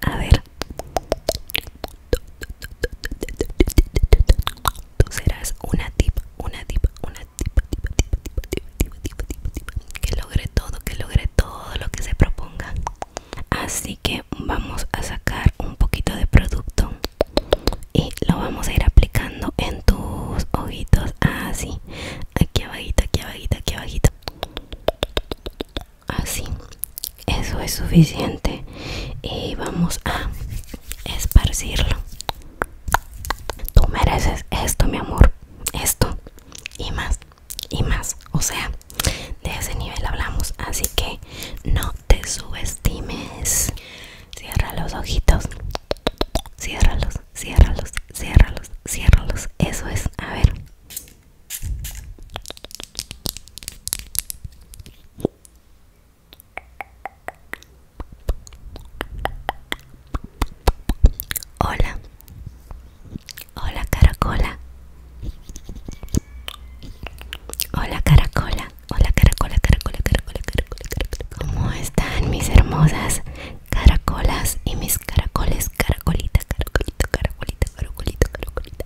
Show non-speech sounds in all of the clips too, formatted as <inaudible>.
A ver. Tú serás una tip, una tip, una tipa, tipa, tipa, tipa, tipa, tipa, tipa, que logre todo, que logre todo lo que se proponga. Así que vamos a sacar un poquito de producto y lo vamos a ir aplicando en tus ojitos así. Aquí abajito, aquí abajito, aquí abajito así ah, eso es suficiente y vamos a esparcirlo tú mereces esto mi amor esto y más y más o sea de ese nivel hablamos así que no te subestimes cierra los ojitos ciérralos ciérralos ciérralos ciérralos eso es a ver Hola, hola caracola. Hola caracola, hola caracola, caracola, caracola, caracola, caracola. ¿Cómo están mis hermosas caracolas y mis caracoles? Caracolita, caracolito, caracolita, Caracolita caracolita,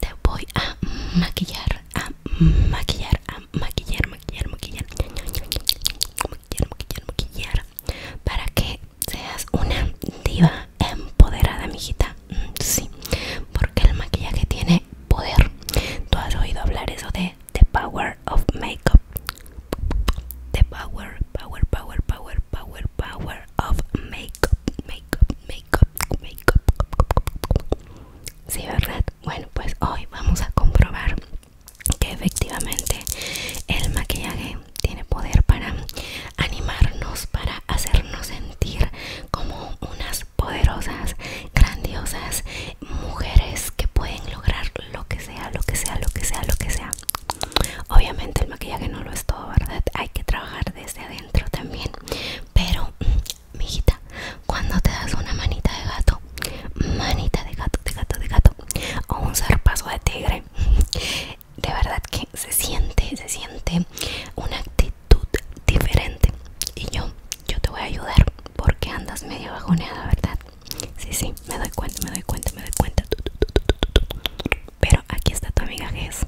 te voy a maquillar, a maquillar, a maquillar, maquillar, maquillar, maquillar, maquillar, maquillar, para que seas una diva empoderada, mijita. Sí, porque el maquillaje tiene poder. Tú has oído hablar eso de The Power of Makeup. The Power, Power, Power, Power, Power, Power of Makeup, Makeup, Makeup, Makeup. Sí, ¿verdad? Bueno, pues hoy vamos a comprobar que efectivamente el maquillaje tiene poder para animarnos, para hacernos sentir como unas poderosas, grandiosas mujeres que pueden lograr lo que sea, lo que sea, lo que sea, lo que sea. Obviamente el maquillaje no lo es todo, ¿verdad? Hay que trabajar desde adentro también, pero mijita, cuando te das una manita de gato, manita de gato, de gato, de gato, o un zarpazo de tigre, <laughs> de verdad que se siente, se siente una actitud diferente. Y yo, yo te voy a ayudar porque andas medio bajoneada, ¿verdad? Sí, sí, me doy cuenta, me doy cuenta, me doy cuenta. Pero aquí está tu amiga Jess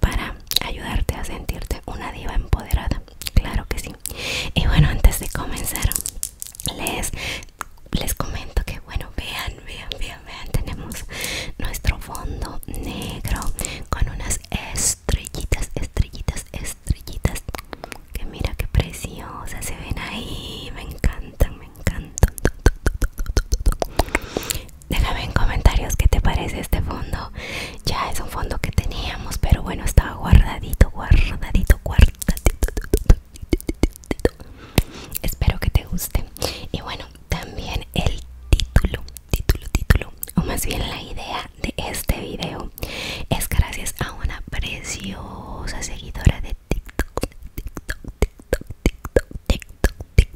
para ayudarte a sentirte una diva empoderada. Claro que sí. Y bueno, antes de comenzar, les, les comento que, bueno, vean, vean, vean, vean, tenemos nuestro fondo negro con unas estrellitas, estrellitas, estrellitas. Que mira qué preciosas se ven ahí. Me encantan, me encantan. Déjame en comentarios qué te parece este fondo ya es un fondo que teníamos pero bueno estaba guardadito guardadito guardadito espero que te guste y bueno también el título título título o más bien la idea de este video es gracias a una preciosa seguidora de TikTok, TikTok,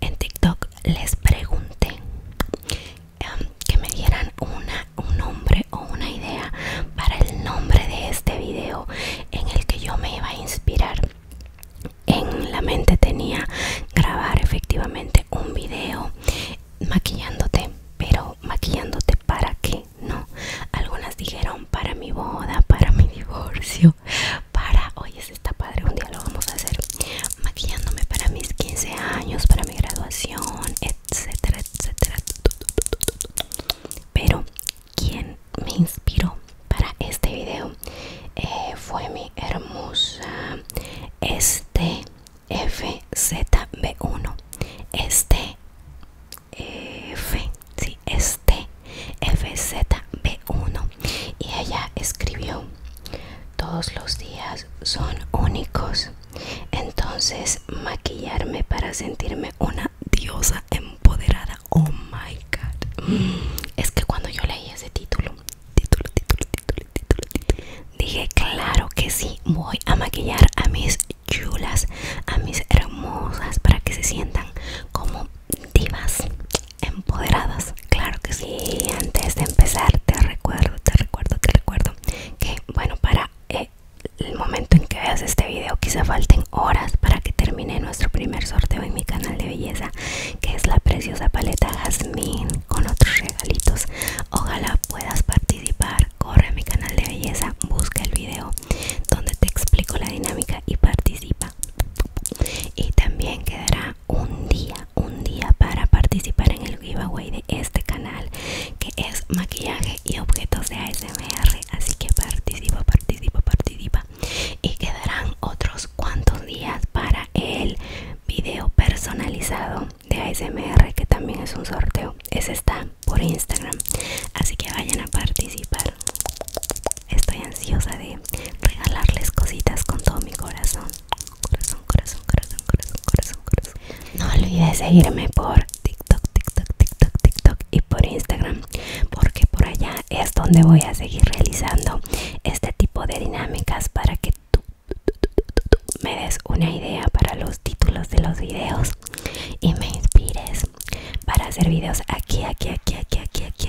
en TikTok les pregunté em, que me dieran un nombre o una idea para el nombre de este video en el que yo me iba a inspirar. En la mente tenía grabar efectivamente un video maquillándote, pero maquillándote para qué, no. Algunas dijeron para mi boda, para mi divorcio, para, hoy es está padre, un día lo vamos a hacer, maquillándome para mis 15 años, para mi graduación, etcétera, etcétera. Pero quien me inspiró para este video eh, fue mi hermosa este FZB1. Este eh, F, sí, este FZB1 y ella escribió, todos los días son únicos, entonces maquillarme para sentirme una diosa empoderada, oh my god. Mm, es que cuando yo leí ese título, título, título, título, título, título, dije, claro que sí, voy a maquillar a mis chulas, a mis hermosas, para que se sientan como divas empoderadas, claro que sí. antes de empezar, te recuerdo, te recuerdo, te recuerdo que, bueno, para eh, el momento en que veas este video, quizá falten horas para que termine nuestro primer sorteo en mi canal de belleza, que es la preciosa paleta Jazmín con otros regalitos. Ojalá puedas participar. Corre a mi canal de belleza, busca el video donde te explico la dinámica y participa. Y también quedará un día, un día para participar en el giveaway de este canal que es maquillaje y objetos de ASMR. Así que participa, participa, participa. Y quedarán otros cuantos días para el video personalizado de ASMR que también es un sorteo. Ese está por Instagram. Así que vayan a participar. Estoy ansiosa de regalarles cositas con todo mi corazón corazón, corazón, corazón, corazón, corazón, corazón. No olvides seguirme por TikTok, TikTok, TikTok, TikTok y por Instagram, porque por allá es donde voy a seguir realizando este tipo de dinámicas para que tú, tú me des una idea para los títulos de los videos y me inspires para hacer videos aquí, aquí, aquí, aquí, aquí, aquí,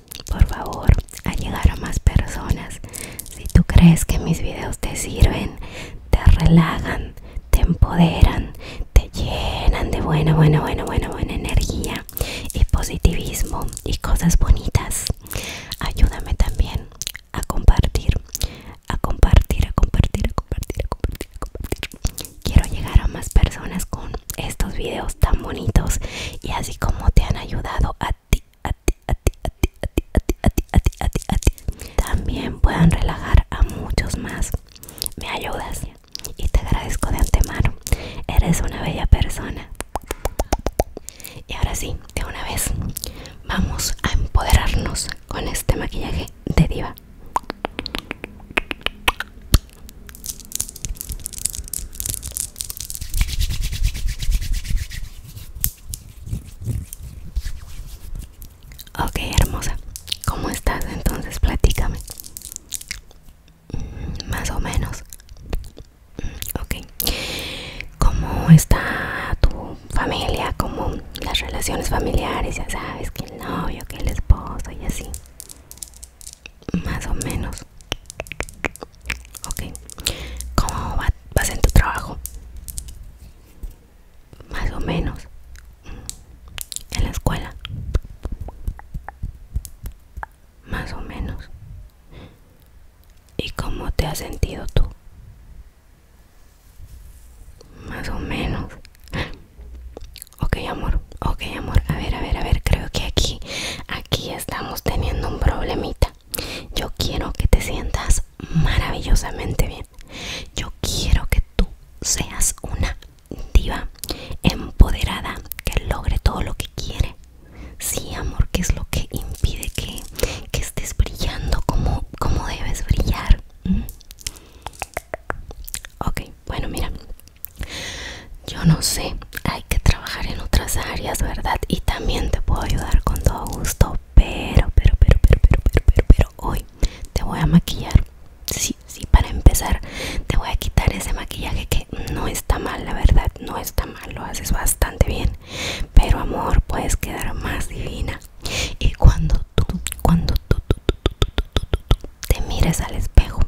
por favor a llegar a más personas si tú crees que mis videos te sirven te relajan te empoderan te llenan de buena buena buena buena buena energía y positivismo y cosas bonitas ayúdame también a compartir a compartir a compartir a compartir a compartir a compartir quiero llegar a más personas con estos videos tan bonitos y así como te han ayudado a a ti, a ti, a ti, a ti, a ti, a ti, a ti, a ti, a ti, También puedan relajar a muchos más. Me ayudas y te agradezco de antemano. Eres una bella persona. Y ahora sí, de una vez, vamos a empoderarnos con este maquillaje de diva. Ok, hermosa. ¿Cómo estás entonces? Platícame. Mm, más o menos. Mm, ok. ¿Cómo está tu familia? ¿Cómo las relaciones familiares? Ya sabes que el novio, que el esposo y así. Más o menos. Ok. ¿Cómo va, vas en tu trabajo? Más o menos. Mm. ¿En la escuela? Más o menos. ¿Y cómo te has sentido tú? Más o menos. Ok, amor. Ok, amor. A ver, a ver, a ver. Creo que aquí, aquí estamos teniendo un problemita. Yo quiero que te sientas maravillosamente bien. Yo quiero que tú seas una diva empoderada que logre todo lo que quiere. Sí, amor, que es lo que impide que, estés brillando como, como debes brillar. ¿Mm? Ok, bueno, mira. Yo no sé, hay que trabajar en otras áreas, ¿verdad? Y también te puedo ayudar con todo gusto, pero, pero, pero, pero, pero, pero, pero, pero hoy te voy a maquillar. Sí, sí, para empezar te voy a quitar ese maquillaje que no está mal, la verdad, no está mal, lo haces bastante bien. Pero amor, puedes quedar más divina. Y cuando tú, cuando tú, tú, tú, tú, tú, tú, tú, te mires al espejo,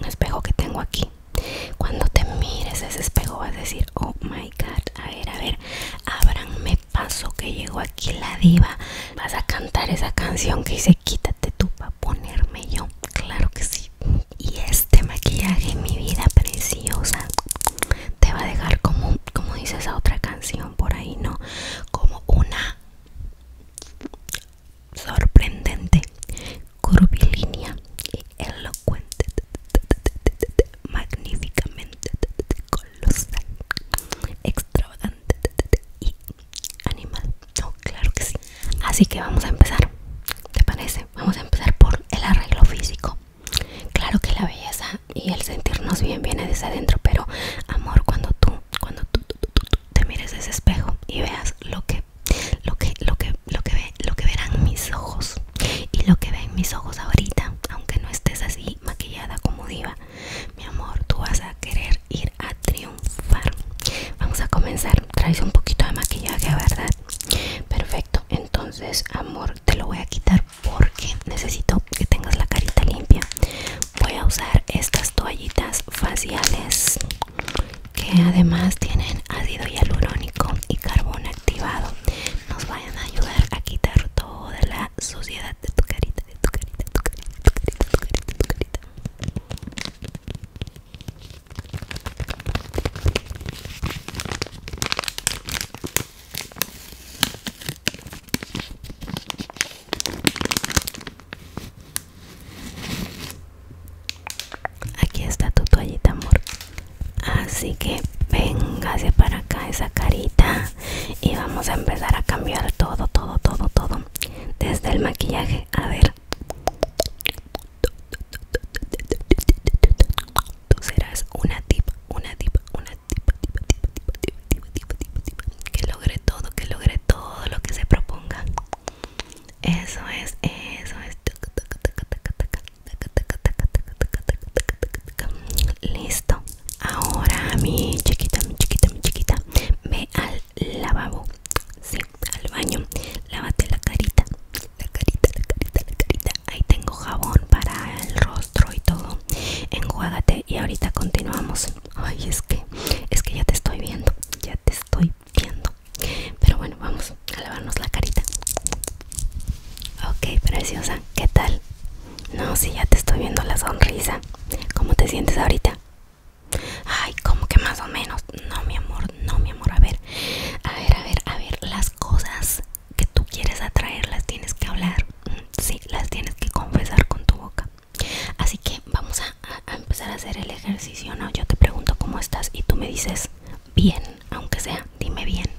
un espejo que tengo aquí, cuando te mires ese espejo vas a decir, oh my a ver, a ver. Abranme paso que llegó aquí la diva. Vas a cantar esa canción que dice quítate tú para ponerme yo. Claro que sí. Y este maquillaje, mi vida preciosa, te va a dejar como, como dice esa otra canción por ahí, ¿no? Como una sorprendente curvilínea y elocuente magníficamente colosal, extravagante y animal. No, claro que sí. Así que vamos a empezar. ¿Te parece? Vamos a empezar por el arreglo físico. Claro que la belleza y el sentirnos bien viene desde adentro, pero amor, cuando tú, cuando tú, te mires ese espejo y veas lo que, lo que, lo que, lo que ve lo que verán mis ojos y lo que ven mis ojos ahorita, aunque no estés así maquillada como diva, mi amor, tú vas a querer ir a triunfar. Vamos a comenzar. Traes un poquito de maquillaje, ¿verdad? Perfecto. Entonces, amor, te lo voy a quitar porque necesito que tengas la carita limpia. Voy a usar estas toallitas faciales que además tienen ácido hialurónico y carbón activado nos vayan a ayudar a quitar toda la suciedad de tu carita, de tu carita, de tu carita, de tu carita, de tu carita, de tu carita. Aquí está tu toallita, amor. Así que hacia para acá esa carita y vamos a empezar a cambiar todo, todo, todo, todo. Desde el maquillaje, a ver. Tú serás una tipa, una tipa, una tipa, tipa, tipa, tipa, tipa, tipa, tipa, Que logre todo, que logre todo lo que se proponga. Eso es, eso es. Listo. Ahora mi chiquita, mi chiquita, mi chiquita. Ve al lavabo. Sí, al baño. Lávate la carita. La carita, la carita, la carita. Ahí tengo jabón para el rostro y todo. Enjuágate y ahorita continuamos. Ay, es que, es que ya te estoy viendo. Ya te estoy viendo. Pero bueno, vamos a lavarnos la carita. Ok, preciosa, ¿qué tal? No, si ya te estoy viendo la sonrisa. ¿Cómo te sientes ahorita? Ay, como que más o menos. No, mi amor, no, mi amor. A ver, a ver, a ver, a ver. Las cosas que tú quieres atraer las tienes que hablar. Mm, sí, las tienes que confesar con tu boca. Así que vamos a empezar a hacer el ejercicio. No, yo te pregunto cómo estás y tú me dices bien, aunque sea, dime bien.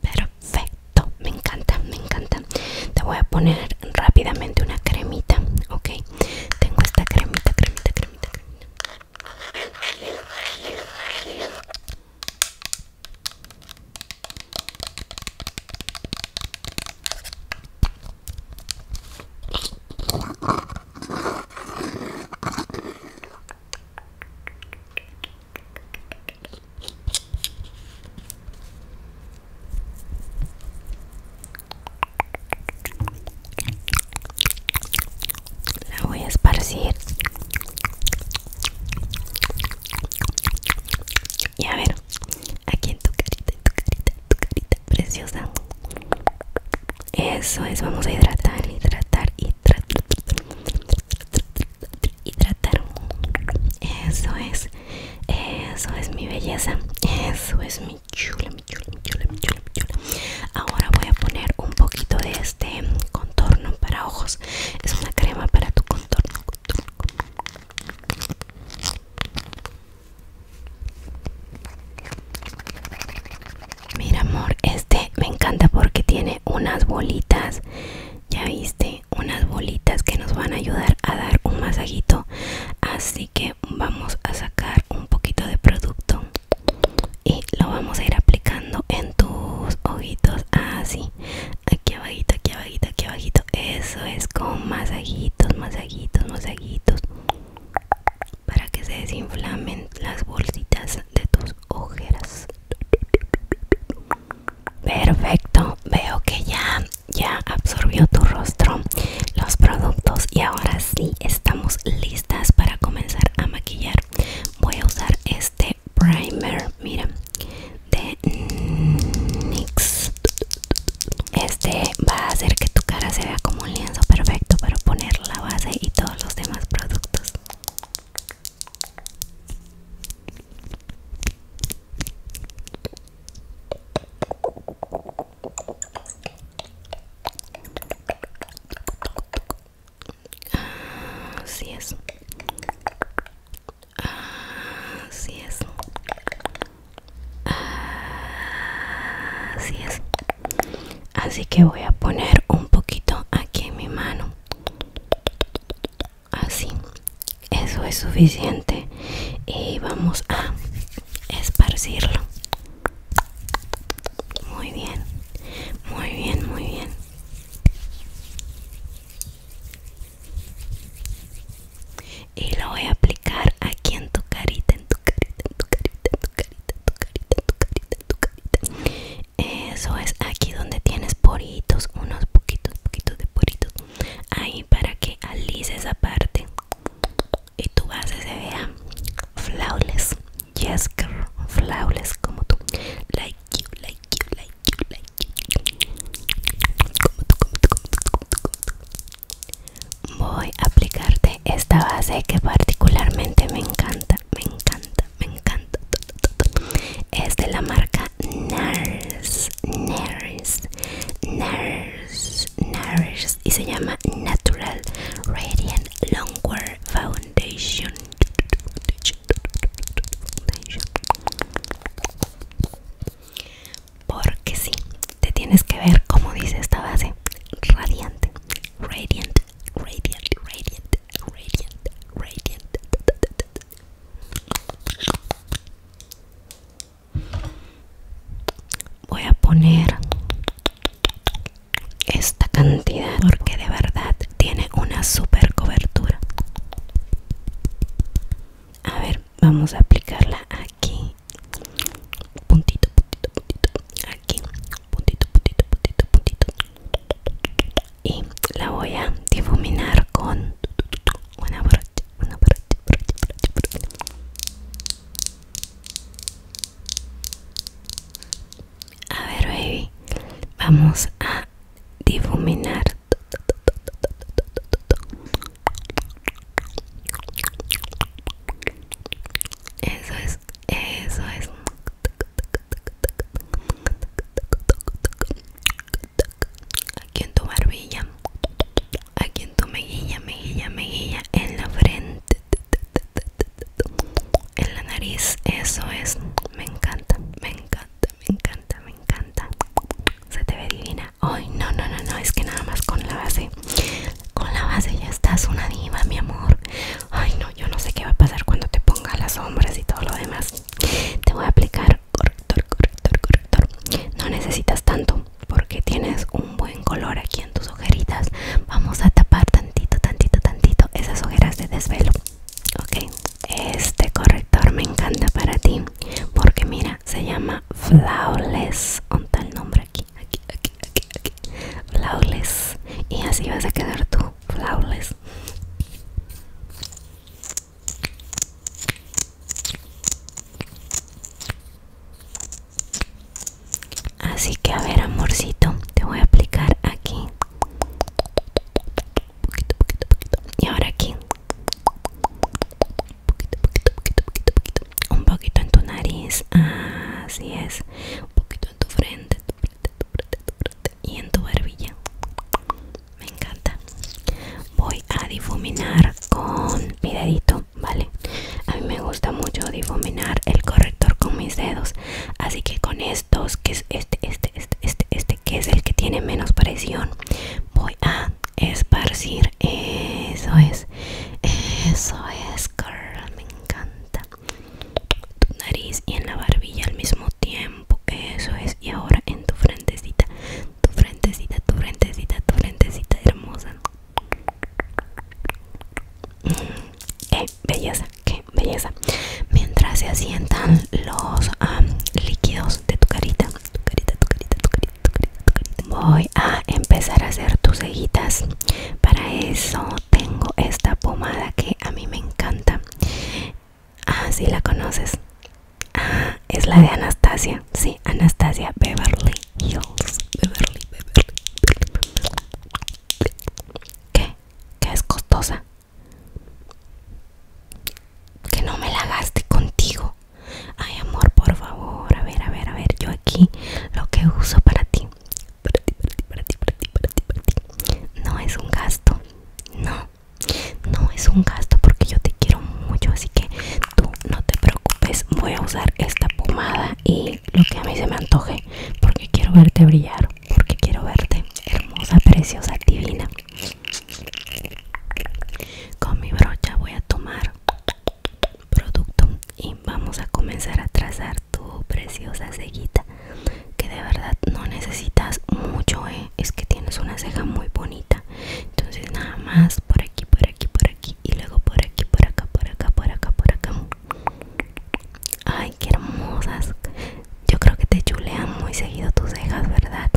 Perfecto, me encanta, me encanta. Te voy a poner rápidamente una cremita, ok. Tengo esta cremita, cremita, cremita, cremita. La voy a esparcir. Y a ver, aquí en tu carita, en tu carita, en tu carita preciosa. Eso es, vamos a hidratar, hidratar, hidratar, hidratar. Eso es, eso es mi belleza, eso es mi chula, mi chula, mi chula, mi chula, chula. Ahora voy a poner un poquito de este contorno para ojos. Es una crema para tu contorno. Mira amor, este me encanta porque tiene unas bolitas, ya viste, unas bolitas que nos van a ayudar a dar un masajito. Así que vamos a sacar un poquito de producto y lo vamos a ir aplicando en tus ojitos, así, ah, aquí abajito, aquí abajito, aquí abajito. Eso es con masajitos, masajitos, masajitos para que se desinflamen las bolsitas de tus ojeras. Perfecto, veo que ya, ya absorbió tu rostro los productos y ahora sí estamos listas para comenzar a maquillar. Voy a usar este primer, mira, de NYX. Este va a hacer que tu cara se vea como un perfecto para poner la base y todos los demás productos Así es. Así es. Así es así que voy a poner un poquito aquí en mi mano así eso es suficiente y vamos a esparcirlo muy bien muy bien muy bien y lo voy a aplicar aquí en tu carita en tu carita en tu carita en tu carita, tu carita, tu carita, tu carita. Eso es aquí donde tienes poritos, unos poquitos, poquitos de poritos. Ahí para que alice esa parte y tu base se vea flawless. Yes, girl, flawless como tú. Like you, like you, like you, like you. como tú, como tú, como tú. Voy a aplicarte esta base que particularmente me encanta me encanta, me encanta. Es de la marca NARS, NARS, NARS, NARS y se llama Natural Radiant Longwear Foundation. Porque sí, te tienes que ver como dice esta base, radiante, radiant, radiant, radiant, radiant, radiant. Voy a poner esta cantidad porque de verdad tiene una super cobertura. A ver, vamos a aplicarla aquí. Puntito, puntito, puntito. Aquí puntito, puntito, puntito, puntito. Y la voy a difuminar con una brocha, una brocha, brocha, brocha, brocha. A ver, baby, vamos a difuminar. Eso es eso es. Aquí en tu barbilla. Aquí en tu mejilla, mejilla, mejilla. En la frente. En la nariz. Eso es. Me encanta, me encanta, me encanta, me encanta. Se te ve divina. Ay, no, no, no, no. Es que nada más con la base. Con la base ya estás una diva, mi amor. Ay no, yo no sé qué va a pasar cuando te ponga las sombras y todo lo demás. Te voy a aplicar corrector, corrector, corrector. No necesitas tanto porque tienes un buen color aquí en tus ojeritas. Vamos a tapar tantito, tantito, tantito esas ojeras de desvelo. Ok, este corrector me encanta para ti porque mira, se llama Flawless. Un tal nombre aquí, aquí, aquí, aquí, aquí. Flawless. Y así vas a quedar tú flawless. Así que a ver amorcito, te voy a aplicar aquí. Poquito, poquito, poquito. Y ahora aquí. poquito, poquito, poquito, Un poquito en tu nariz. Así es. Un poquito en tu frente y en tu barbilla. Me encanta. Voy a difuminar con mi dedito, ¿vale? A mí me gusta mucho difuminar el corrector con mis dedos. Así que con estos, que es este, este, este, este, este, que es el que tiene menos presión, voy a esparcir. Eso es. Eso es, Me encanta tu nariz y en la barbilla al mismo tiempo. Eso es. Y ahora en tu frentecita. Tu frentecita, tu frentecita, tu frentecita hermosa. Mm, eh, belleza, qué belleza. Mientras se asientan los líquidos de tu carita, tu carita, tu carita, tu carita, tu carita. Voy a empezar a hacer tus cejitas. Para eso tengo esta pomada que a mí me encanta. Ah, sí la conoces. Ah, es la de Anastasia. Sí, Anastasia Beverly Hills. Beverly, Beverly. ¿Qué? ¿Qué es costosa? Que no me la gaste contigo. Ay, amor, por favor. A ver, a ver, a ver. Yo aquí lo que uso para ti para ti, No es un gasto, no, no es un gasto porque yo te quiero mucho, así que tú no te preocupes. Voy a usar esta pomada y lo que a mí se me antoje porque quiero verte brillar, porque quiero verte hermosa, preciosa, divina. Con mi brocha voy a tomar producto y vamos a comenzar a trazar tu preciosa cejita que de verdad no necesitas mucho ¿eh? es que tienes una ceja muy bonita entonces nada más por aquí por aquí por aquí y luego por aquí por acá por acá por acá por acá ay que hermosas yo creo que te chulean muy seguido tus cejas verdad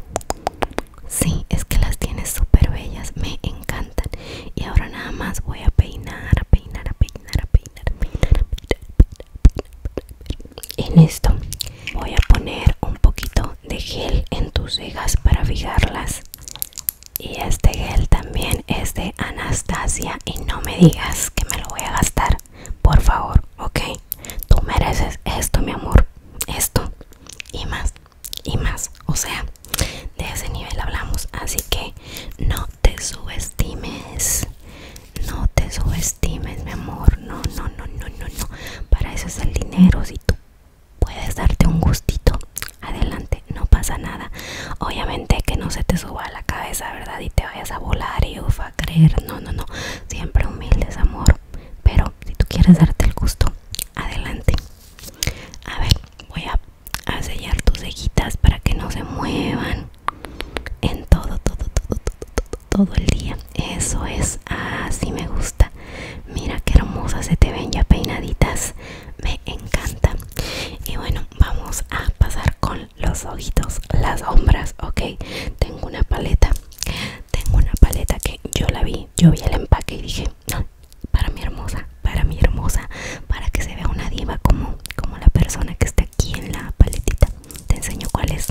sí es que las tienes súper bellas me encantan y ahora nada más voy a peinar peinar peinar a peinar, a peinar, a peinar, a peinar, a peinar, en esto voy a poner un poquito de gel en tus cejas para fijarlas y este gel también es de Anastasia y no me digas que me lo voy a gastar por favor ok tú mereces esto mi amor esto y más y más o sea de ese nivel hablamos así que no te subestimes no te subestimes, mi amor. No, no, no, no, no, no. Para eso es el dinero. Si tú puedes darte un gustito, adelante, no pasa nada. Obviamente que no se te suba a la cabeza, ¿verdad? Y te vayas a volar y ufa, a creer. No, no, no. Siempre humildes, amor. Pero si tú quieres darte el gusto, adelante. A ver, voy a, sellar tus cejitas para que no se muevan en todo, todo, todo, todo, todo, el día. Eso es, así ah, me gusta. Mira qué hermosas se te ven ya peinaditas. Me encanta. Y bueno, vamos a pasar con los ojitos, las sombras, ok. Tengo una paleta, tengo una paleta que yo la vi, yo vi el empaque y dije, no, para mi hermosa, para mi hermosa, para que se vea una diva como, como la persona que está aquí en la paletita te enseño cuál es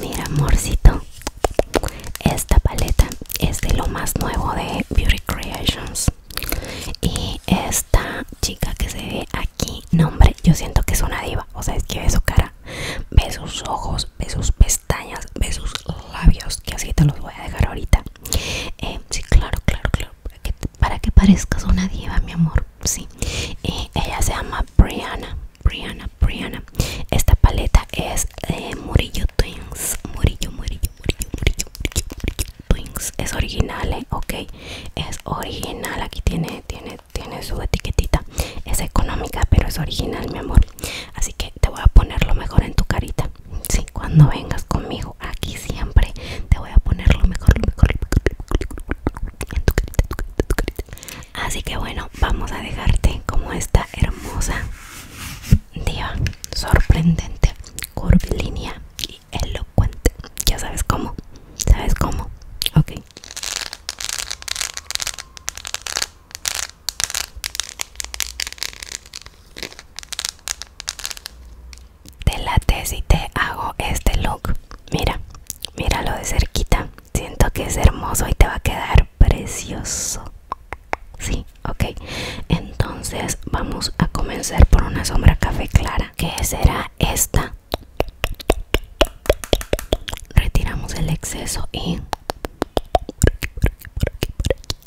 Mira amorcito, esta paleta es de lo más nuevo de Beauty Creations Y esta chica que se ve aquí, nombre, yo siento que es una diva O sea, es que ve su cara, ve sus ojos, ve sus pestañas, ve sus labios Que así te los voy a dejar ahorita eh, sí claro claro claro para que parezcas una diva mi amor sí eh, ella se llama Brianna Brianna Brianna esta paleta es Murillo Twins Murillo Murillo Murillo Murillo Murillo, Twins es original eh, ok es original aquí tiene tiene tiene su etiquetita es económica pero es original mi amor así que te voy a ponerlo mejor en tu carita sí, cuando vengas conmigo aquí siempre te voy a poner lo mejor, lo mejor, Así que bueno, vamos a dejarte como esta hermosa diva sorprendente, curvilínea y elocuente. Ya sabes cómo, sabes cómo, ok. Te late si te hago este look. Mira, míralo de cerquita. Siento que es hermoso y te va a quedar precioso. Sí, ok. Entonces vamos a comenzar por una sombra café clara. Que será esta? Retiramos el exceso y... Por aquí, por aquí, por aquí, por aquí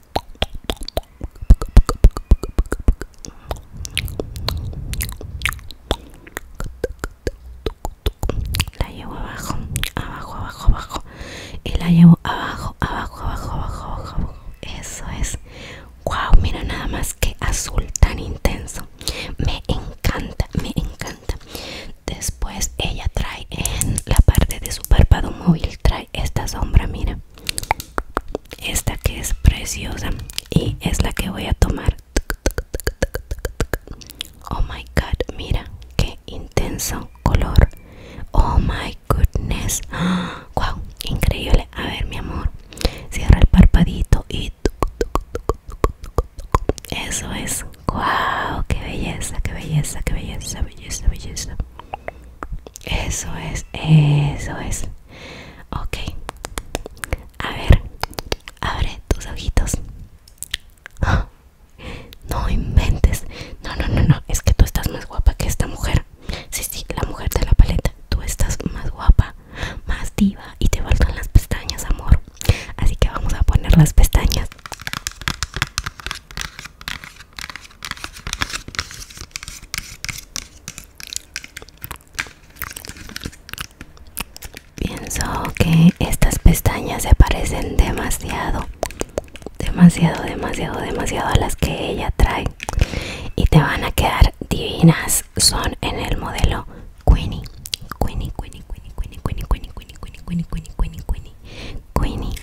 la llevo abajo, abajo, abajo, abajo. Y la llevo abajo, abajo, abajo, abajo, abajo. Eso es. Wow, mira nada más que azul tan intenso. Me encanta, me encanta. Después ella trae en la parte de su párpado móvil trae esta sombra mira esta que es preciosa y es la que voy a tomar oh my god mira qué intenso color oh my goodness wow <gasps> increíble a ver mi amor cierra el parpadito y eso es wow qué belleza qué belleza qué belleza belleza belleza eso es, eso es. Ok. A ver, abre tus ojitos. <gasps> no inventes. No, no, no, no. Es que tú estás más guapa que esta mujer. Sí, sí, la mujer de la paleta. Tú estás más guapa, más diva y te faltan las pestañas, amor. Así que vamos a poner las pestañas. Pienso que estas pestañas se parecen demasiado, demasiado, demasiado, demasiado a las que ella trae y te van a quedar divinas. Son en el modelo Queenie, Queenie, Queenie, Queenie, Queenie, Queenie, Queenie, Queenie, Queenie, Queenie, Queenie, Queenie, Queenie, Queenie,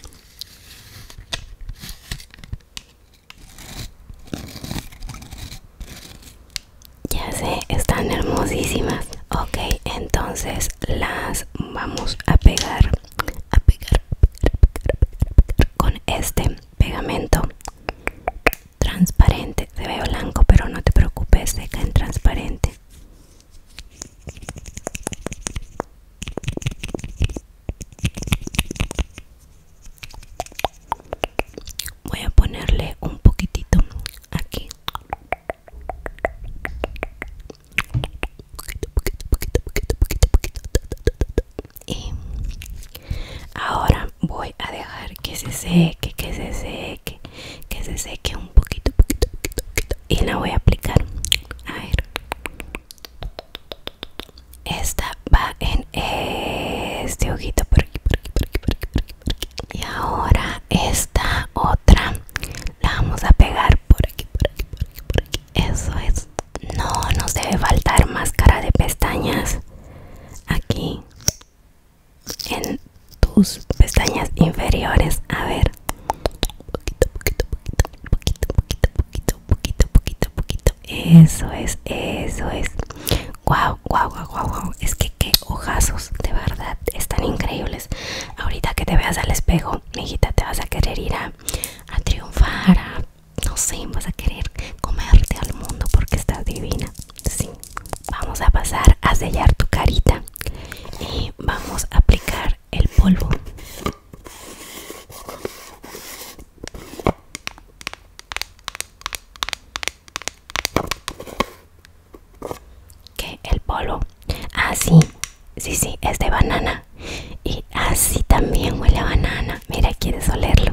ya sé, están hermosísimas. Ok, entonces las vamos a pegar, a pegar, con este pegamento transparente. Se ve blanco, pero no te preocupes, se en transparente. Voy a ponerle un poquitito aquí. Poquito, poquito, poquito, poquito, poquito, poquito. Y ahora voy a dejar que se seque, que se seque, que se seque un poquito, poquito, poquito. Y la voy a aplicar. A ver. Esta va en este ojito por aquí, por aquí, por aquí, por aquí, por aquí, Y ahora esta otra la vamos a pegar por aquí, por aquí, por aquí, por aquí. Eso es. No nos debe faltar máscara de pestañas aquí en tus pestañas inferiores. A ver poquito, poquito, poquito, poquito, poquito, poquito, poquito, poquito. poquito Eso es, eso es. guau guau guau guau Es que qué ojazos, de verdad, están increíbles. Ahorita que te veas al espejo, mijita, te vas a querer ir a, triunfar, no sé, vas a querer comerte al mundo porque estás divina. Sí. Vamos a pasar a sellar tu carita y vamos a aplicar el polvo que el polo así ah, sí sí es de banana y así también huele a banana mira quieres olerlo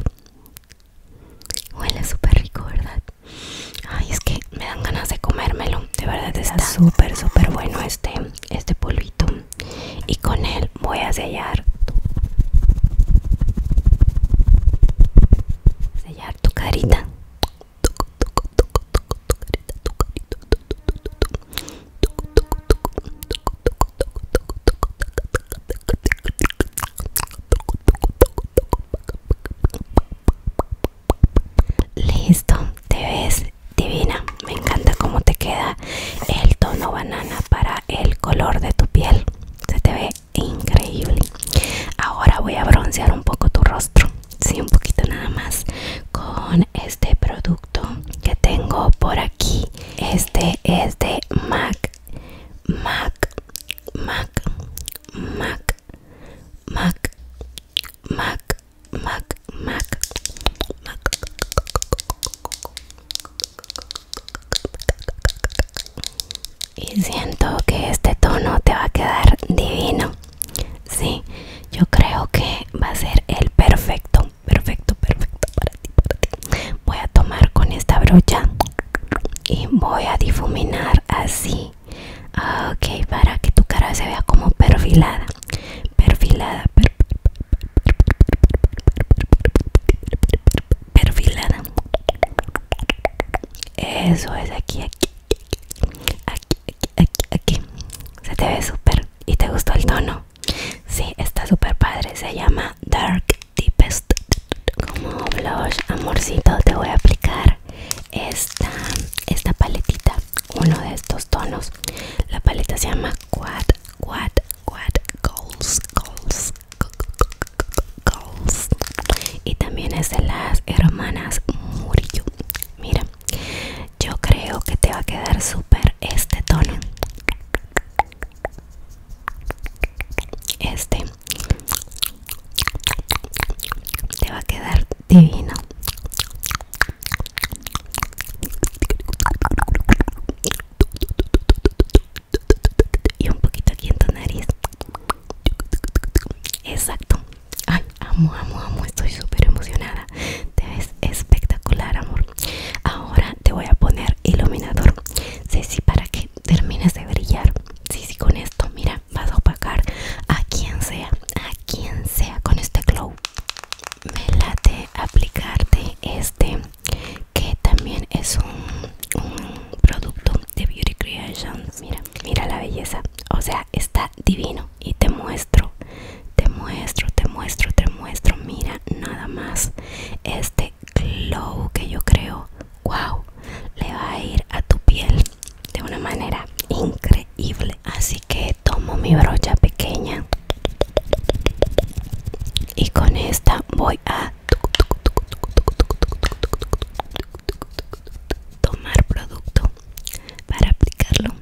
huele súper rico verdad ay es que me dan ganas de comérmelo de verdad está súper súper bueno este este polvito y con él voy a sellar sellar tu carita Listo, te ves divina. Me encanta cómo te queda el tono banana para el color de tu piel. Se te ve increíble. Ahora voy a broncear un poco tu rostro. Sí, un poquito nada más. Con este producto que tengo por aquí. Este es de MAC. MAC. MAC. MAC. MAC. MAC. Mac, Mac, Mac. Y siento que este tono te va a quedar divino. Sí, yo creo que va a ser el perfecto, perfecto, perfecto para ti, Voy a tomar con esta brocha y voy a difuminar así. Ah, ok, para que tu cara se vea como perfilada perfilada perfilada eso es aquí aquí aquí aquí aquí, se te ve súper y te gustó el tono sí está súper padre se llama dark deepest como blush amorcito te voy a aplicar esta esta paletita uno de estos tonos. La paleta se llama Quad, Quad, Quad Goals, Goals, Goals. Y también es de las hermanas Murillo. Mira, yo creo que te va a quedar súper este tono. Este te va a quedar divino y un poquito aquí en tu nariz exacto ay amo amo amo estoy súper emocionada te ves espectacular amor ahora te voy a poner iluminador sí sí para que termines de brillar sí sí con esto mira vas a opacar a quien sea a quien sea con este glow me late aplicarte este que también es un, producto de Beauty creation mira mira la belleza o sea está divino y te muestro te muestro te muestro te muestro mira nada más este glow que yo creo wow le va a ir a tu piel de una manera increíble así que tomo mi brocha pequeña y con esta voy a tomar producto para aplicarlo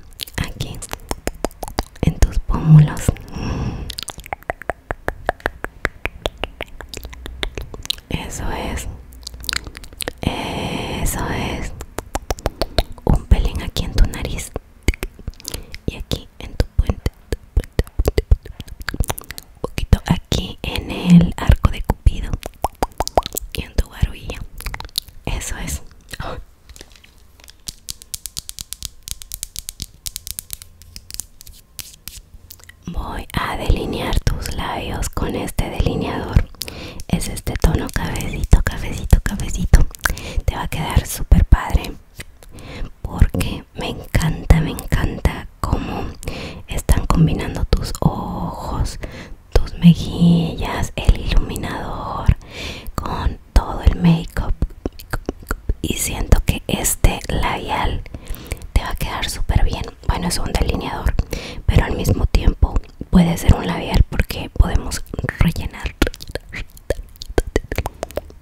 aquí en tus pómulos eso es eso es un pelín aquí en tu nariz y aquí en tu un poquito aquí en el arco de Cupido y en tu barbilla. Eso es. Voy a delinear tus labios con este delineador. Es este tono cabecito, cafecito, cafecito. Te va a quedar súper padre porque me encanta, me encanta cómo están combinando tus ojos, tus mejillas, el iluminador con todo el make-up. Y siento que este labial te va a quedar súper bien. Bueno, es un delineador, pero al mismo tiempo puede ser un labial porque podemos rellenar,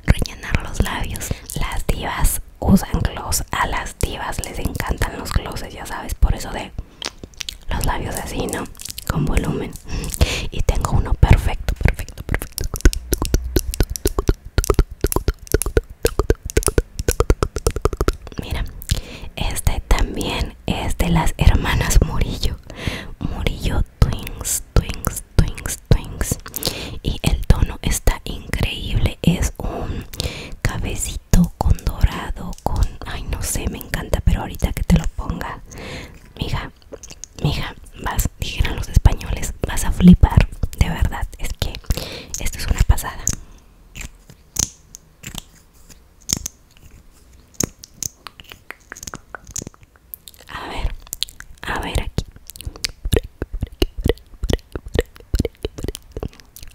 rellenar los labios. Las divas usan gloss, a las divas les encantan los glosses, ya sabes, por eso de los labios así, ¿no? Con volumen. Y tengo uno perfecto, perfecto, perfecto. Mira, este también es de las hermanas Murillo. Murillo Twinks, Twinks, Twinks, Twinks. Y el tono está increíble. Es un cabecito con dorado, con... Ay, no sé, me encanta, pero ahorita que te lo ponga. Mija, mija, vas, dijeron los españoles, vas a flipar. De verdad, es que esto es una pasada. A ver, a ver aquí.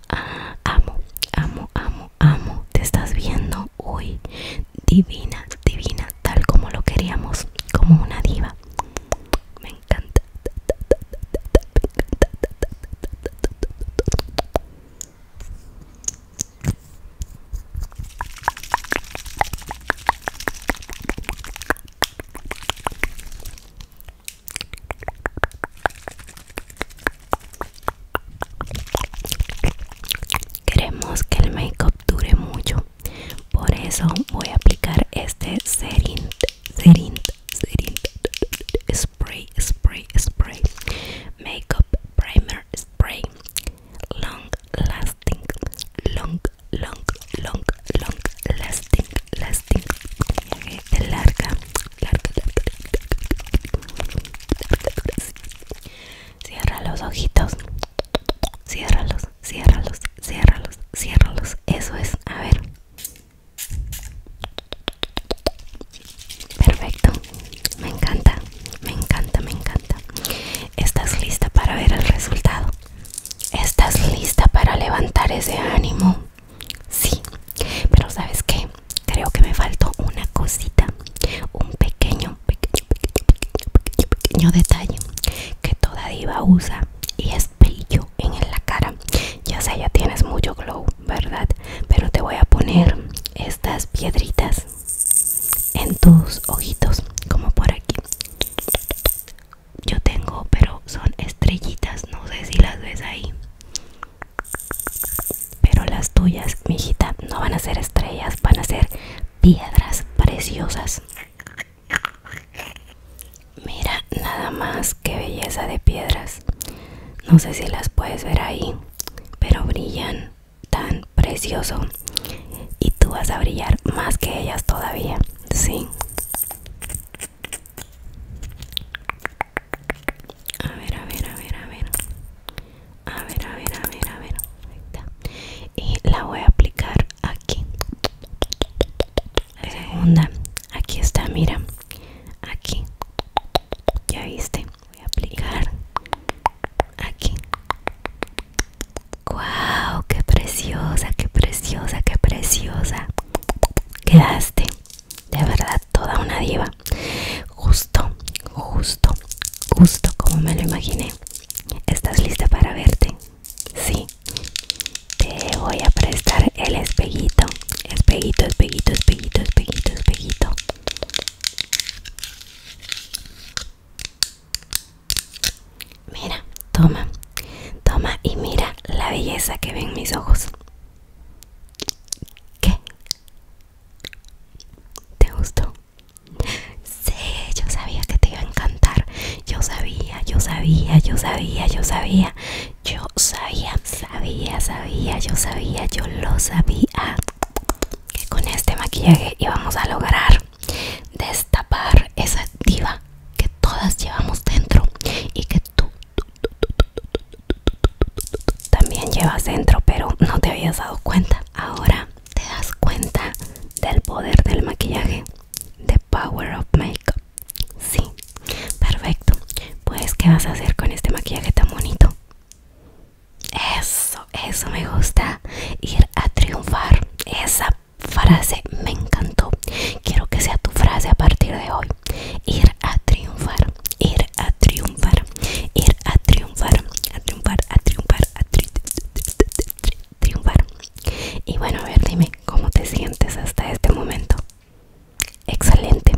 Ah, amo, amo, amo, amo. Te estás viendo hoy. Divina, divina, tal como lo queríamos, como una diva. Me encanta. Queremos que el make-up dure mucho, por eso voy a aplicar este serint serint serint, spray, spray, spray, makeup primer spray, long lasting, long long, long, long lasting, lasting Larga, larga, larga, larga, larga. Cierra los ojitos, ciérralos, ciérralos, ciérralos, ciérralos. Eso es, a ver. Perfecto, me encanta, me encanta, me encanta. ¿Estás lista para ver el resultado? ¿Estás lista para levantar ese ánimo? Sí, pero ¿sabes qué? Creo que me faltó una cosita, un pequeño, pequeño, pequeño, pequeño, pequeño, detalle que toda diva usa y es brillo en la cara. Ya sé, ya tienes mucho glow, ¿verdad? Pero te voy a poner estas piedritas en tus ojitos, como por aquí. Yo tengo, pero son estrellitas, no sé si las ves ahí. Pero las tuyas, mi mijita, no van a ser estrellas, van a ser piedras preciosas. Mira, nada más que belleza de piedras. No sé si las puedes ver ahí, pero brillan tan precioso y tú vas a brillar más que ellas todavía, ¿sí? A ver, a ver, a ver, a ver. A ver, a ver, a ver, a ver. Ahí Y la voy a aplicar aquí. La segunda. Aquí está, mira. Aquí. Ya viste. Voy a aplicar aquí. ¡Wow! ¡Qué preciosa, qué preciosa, qué preciosa! Quedaste, de verdad, toda una diva. Justo, justo, justo como me lo imaginé. ¿Estás lista para verte? Sí. Te voy a prestar el espejito Espejito, espejito, espejito, espejito, espejito Mira, toma, toma y mira la belleza que ven mis ojos. ¿Qué? ¿Te gustó? Sí, yo sabía que te iba a encantar. Yo sabía, yo sabía, yo sabía, yo sabía. Yo sabía, sabía, sabía, yo sabía, yo lo sabía. Que con este maquillaje íbamos a lograr destapar esa diva que todas llevamos dentro y que tú, también llevas dentro, pero no te habías dado cuenta. Ahora te das cuenta del poder del maquillaje, the power of makeup. Sí, perfecto. Pues, ¿qué vas a hacer con este maquillaje tan bonito? Eso, eso me gusta. Ir a triunfar. Esa frase me encantó. Quiero que sea tu frase a partir de hoy. Ir a triunfar, ir a triunfar, ir a triunfar, a triunfar, a triunfar, a triunfar. Y bueno, a ver, dime cómo te sientes hasta este momento. Excelente,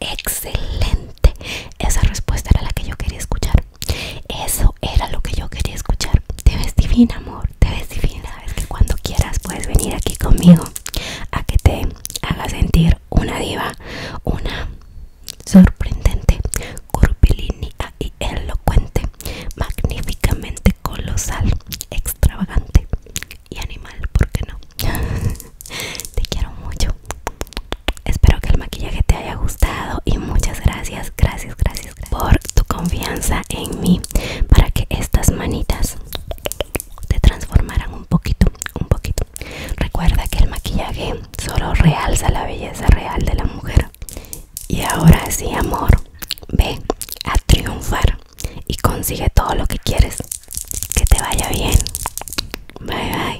excelente. Esa respuesta era la que yo quería escuchar. Eso era lo que yo quería escuchar. Te ves divina, amor. Te ves divina, es que cuando quieras puedes venir aquí conmigo a que te haga sentir una diva, una sorprendente, curvilínea y elocuente, magníficamente colosal, extravagante y animal, ¿por qué no? <laughs> te quiero mucho. Espero que el maquillaje te haya gustado y muchas gracias, gracias, gracias por tu confianza en mí para que estas manitas te transformaran un poquito, un poquito. Recuerda que el maquillaje solo realza la belleza real de la mujer. Y ahora sí, amor, ve a triunfar y consigue todo lo que quieres. Que te vaya bien. Bye bye.